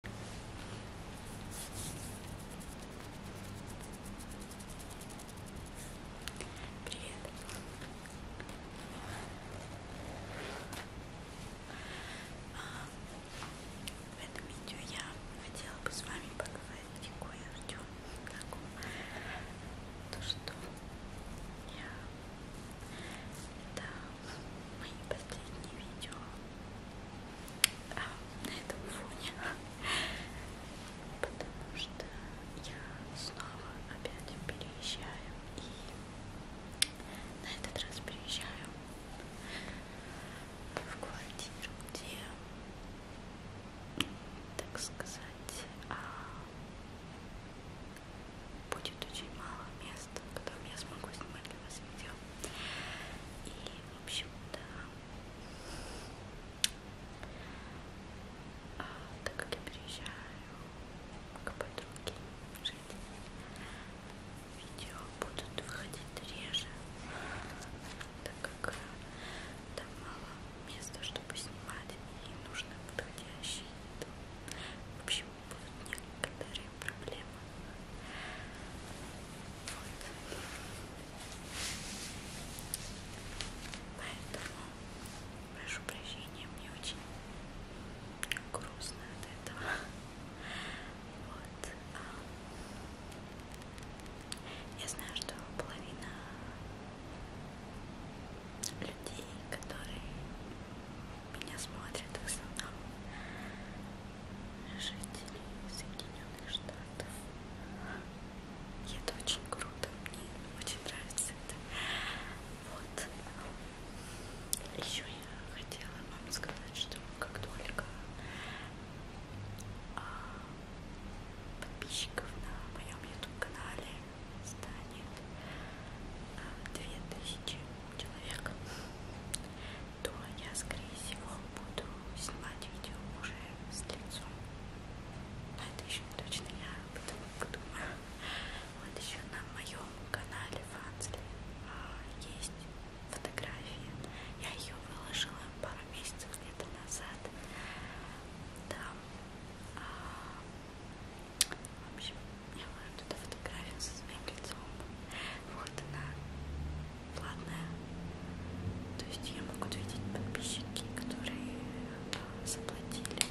Привет. В этом видео я хотела бы с вами поговорить кое о чем таком. То, что я... Это мои последние видео а, на этом фоне, потому что я снова опять переезжаю и на этот раз переезжаю в квартиру, где, так сказать, а, будет очень мало места подкаст, в котором я смогу снимать для вас видео. И, в общем-то, а, так как я переезжаю к подруге жить, видео будут выходить реже, так как э, там мало места, чтобы снимать, и нужно подходящие. В общем, были некоторые проблемы. Вот. Поэтому прошу прощения, мне очень грустно от этого. Вот. А, я знаю, что половина людей, которые меня смотрят в основном жители Соединенных Штатов. И это очень круто, мне очень нравится это. Вот. Еще я хотела вам сказать, что как только а, подписчиков на моем YouTube канале станет 2000 человек, то я, скорее всего, буду снимать видео уже с лицом. Но это еще не точно, я об этом подумаю. Вот еще на моем канале Фанцли а, есть фотография. Я ее выложила пару месяцев где-то назад. Там а, в общем, я вам туда фотографию со своим лицом. Вот она, платная. То есть я могу видеть подписчики, которые э, заплатили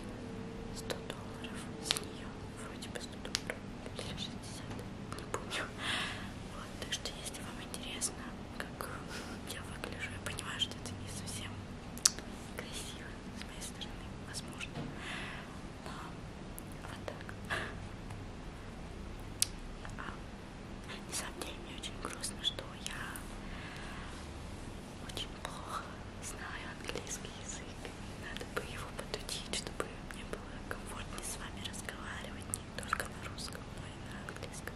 100 долларов за нее. Вроде бы 100 долларов или 60, не помню. Вот, так что если вам интересно, как я выгляжу, я понимаю, что это не совсем красиво с моей стороны, возможно. Да, вот а так. А, на самом деле мне очень грустно, что я очень плохо знаю английский язык. Надо бы его подучить, чтобы мне было комфортнее с вами разговаривать не только на русском, но и на английском.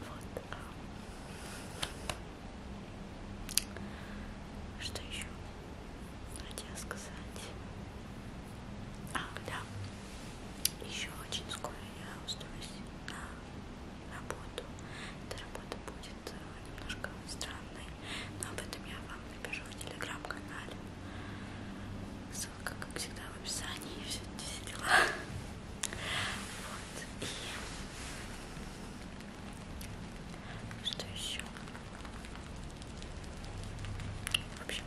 Вот. А. Что еще? хотела сказать. А, да. Еще очень скоро я устроюсь на работу. Эта работа будет э, немножко странной, но об этом я вам напишу в телеграм-канале. Ссылка, как всегда, в описании и все эти дела. Вот. И что еще? В общем,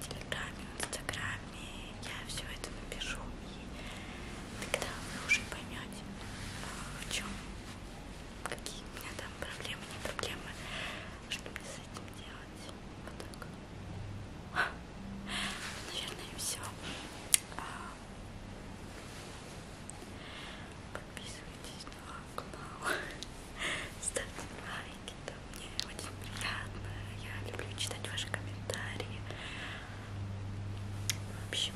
в Телеграме, в Инстаграме я все это напишу. И тогда вы уже поймете, а, в чем, какие у меня там проблемы, не проблемы, что мне с этим делать. Вот так. Наверное, все. А, подписывайтесь отличного канала. Ставьте лайки, это мне очень приятно. Я люблю читать ваши комментарии. В общем,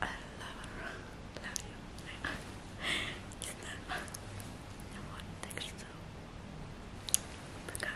I love, love you. Не знаю. Вот, так что пока.